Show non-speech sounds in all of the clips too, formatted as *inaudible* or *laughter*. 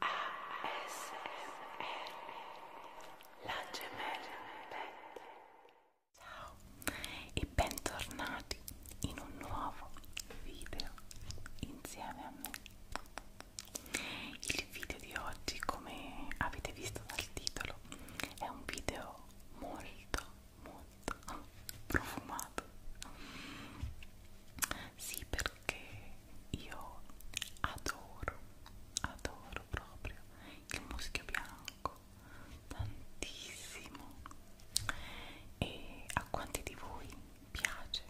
ASMR La gemella pet Ciao e bentornati in un nuovo video insieme a me Il video di oggi come avete visto dal titolo è un video molto molto *laughs* profumato sì, perché che io adoro, adoro proprio il muschio bianco tantissimo e a quanti di voi piace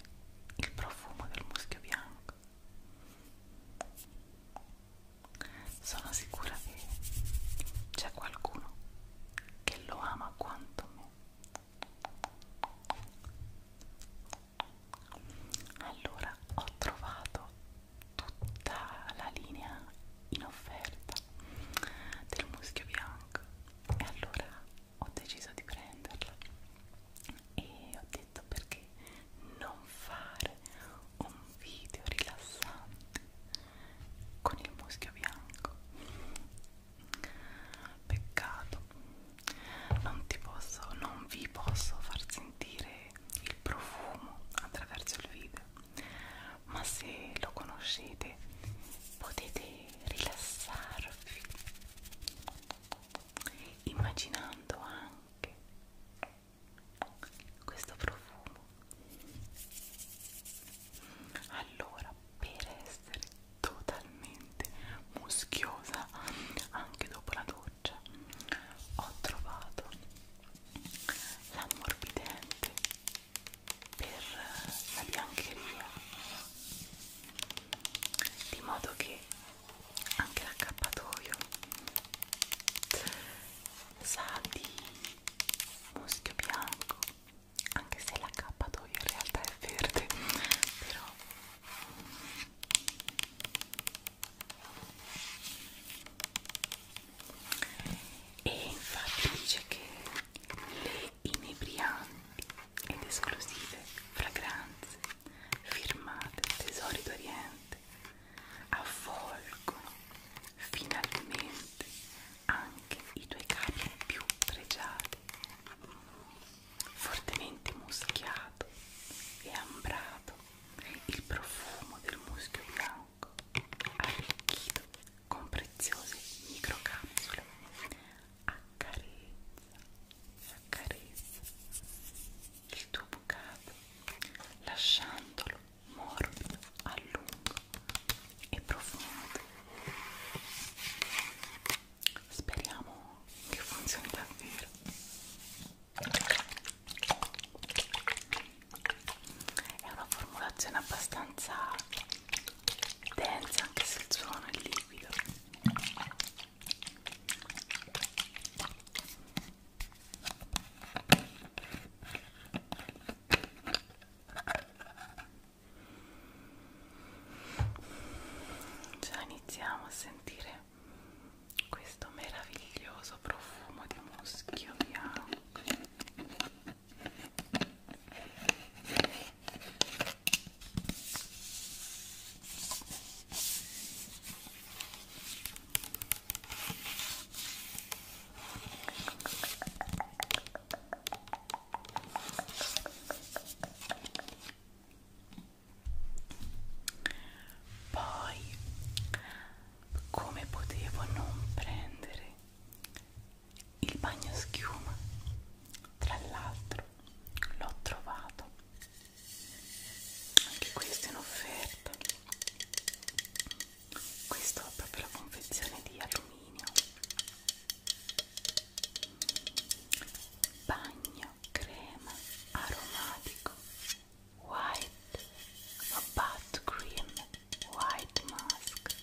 il profumo del muschio bianco? Sono sicura che c'è qualcuno che lo ama quanto me allora ho trovato tutta la linea in offerta del muschio bianco e allora ho deciso di prenderla e ho detto perché non fare un video rilassante con il muschio bianco peccato non ti posso, non vi posso far sentire il profumo attraverso il video, ma se lo conoscete potete rilassarvi immaginando anche questo profumo allora per essere totalmente muschiosa anche dopo la doccia ho trovato l'ammorbidente per la biancheria di modo che anche l'accappatoio sa di muschio bianco anche se l'accappatoio in realtà è verde però e infatti dice che le inebrianti ed esclusive fragranze firmate tesori d'oriente avvolgono finalmente anche i tuoi capi più pregiati fortemente muschiato e ambrato, il profumo del muschio bianco arricchito con preziose microcapsule accarezza, accarezza il tuo bucato lasciandolo morbido a lungo e profondo speriamo che funzioni davvero è una formulazione abbastanza densa anche se il suono è liquido già iniziamo a sentire questo meraviglioso profumo di muschio bianco poi, come potevo non prendere il bagno schiuma? Tra l'altro, l'ho trovato anche questo in offerta. Questo è proprio la confezione di alluminio bagno legno crema white a cream white mask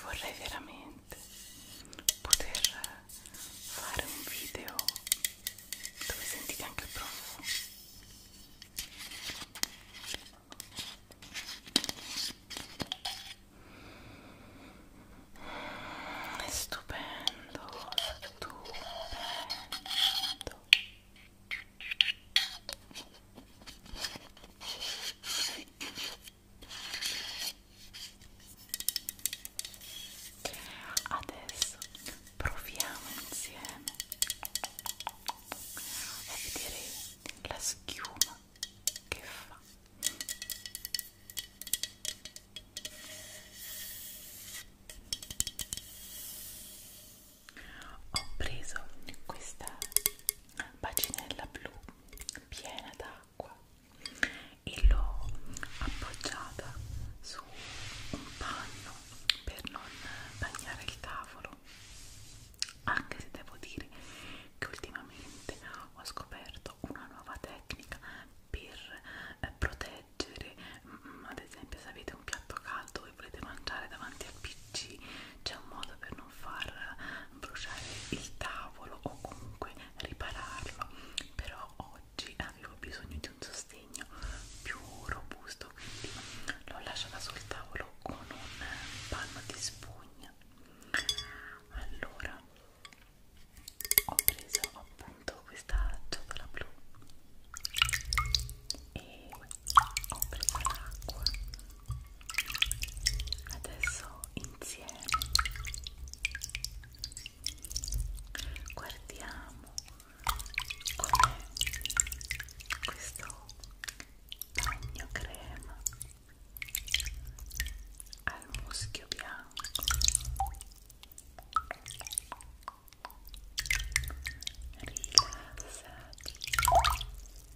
vorrei veramente poter fare un video dove sentite anche il profumo è stupendo stupendo Adesso proviamo insieme a vedere la schiuma che fa ho preso questa bacinella blu piena d'acqua e l'ho appoggiata su un panno per non bagnare il tavolo anche se devo dire che ultimamente ho scoperto una nuova tecnica per eh, proteggere ad esempio se avete un piatto caldo e volete mangiare davanti al PC accorgerci c'è un modo per non far bruciare il tavolo o comunque ripararlo però oggi avevo bisogno di un sostegno più robusto quindi l'ho lasciata sul tavolo con un panno di spugna allora ho preso appunto questa ciotola blu e ho preso l'acqua adesso insieme guardiamo come questo bagno crema al muschio bianco rilassati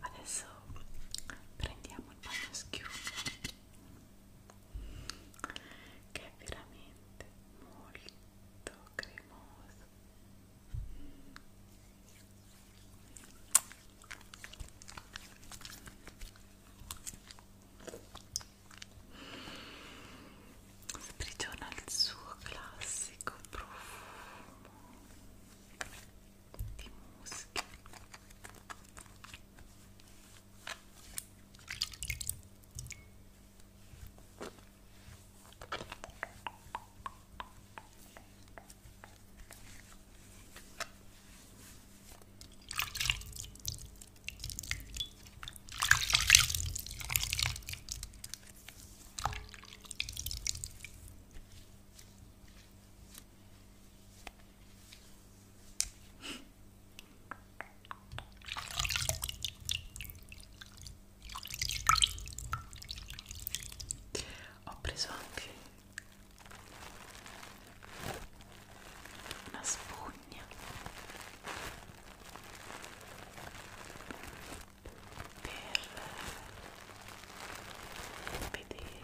Adesso prendiamo il bagno schiuma che è veramente molto cremoso sprigiona il suo classico profumo di musica ho preso anche una spugna per vedere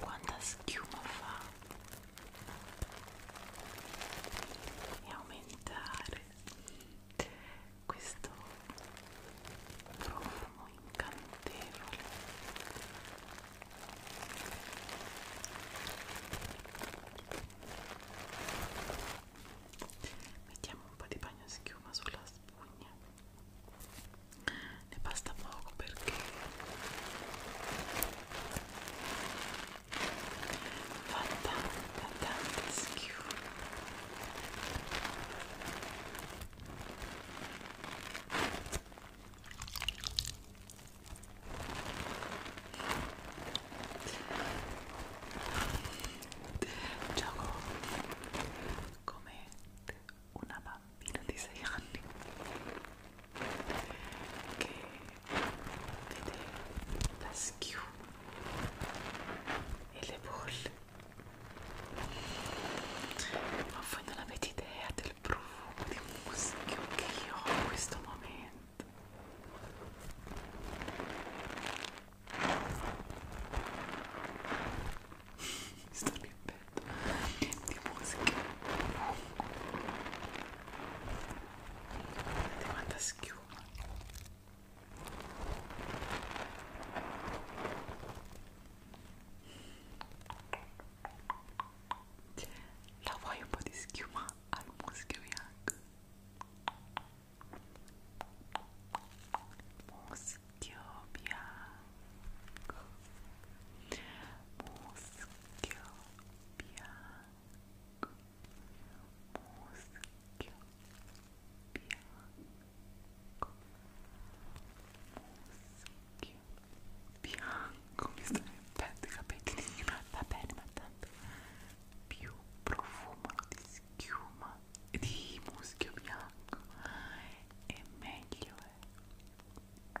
quanta schiuma fa e aumentare questo profumo incantevole mettiamo un po' di bagno schiuma sulla spugna ne basta poco perché fa tanta tanta schiuma Choco come una bambina di 6 anni che la le Ma voi non avete idea del profumo di muschio che io ho in questo momento. *laughs* Sto riempendo di musica. Vedete quanta schiuma. La vuoi un po' di schiuma al muschio bianco? Muschio bianco Muschio bianco Muschio bianco muschio bianco mi sta mettendo i capelli di una va bene ma tanto più profumo di schiuma di muschio bianco e meglio è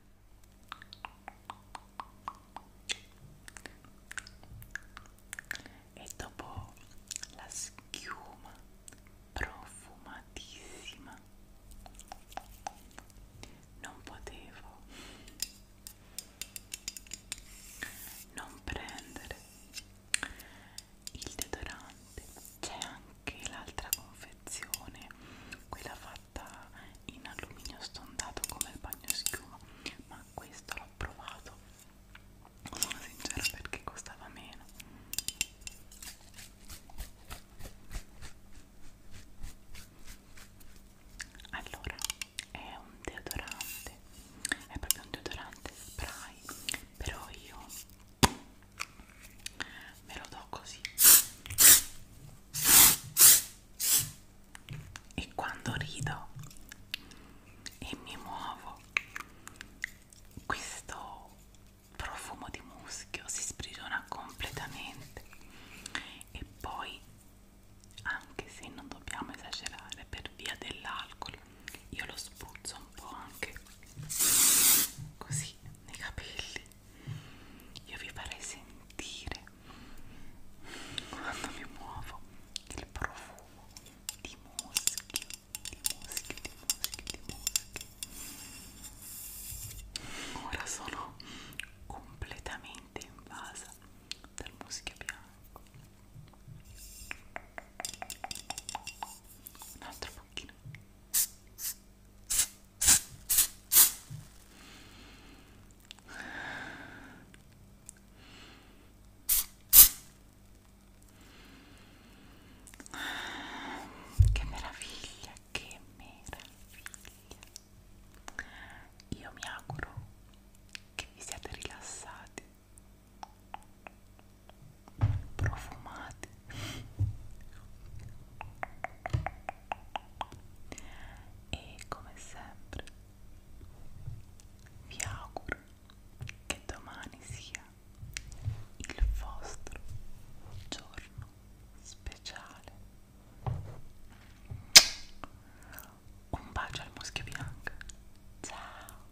e dopo la schiuma profumatissima non potevo non prendere il deodorante c'è anche l'altra confezione quella fatta in alluminio stondato come il bagno schiuma ma questo l'ho provato sono sincera perché costava meno allora è un deodorante è proprio un deodorante spray però io me lo do così e quando rido e mi muovo questo profumo di muschio si sprigiona completamente e poi anche se non dobbiamo esagerare per via dell'alcol io lo spruzzo un po' anche così nei capelli io vi farei sentire quando mi muovo il profumo di muschio di muschio di muschio di muschio ora sono completamente invasa dal muschio bianco un altro pochino che meraviglia, che meraviglia. Io mi auguro che vi siate rilassati, profumati e come sempre vi auguro che domani sia il vostro giorno speciale. Un bacio al muschio bianco. Ciao.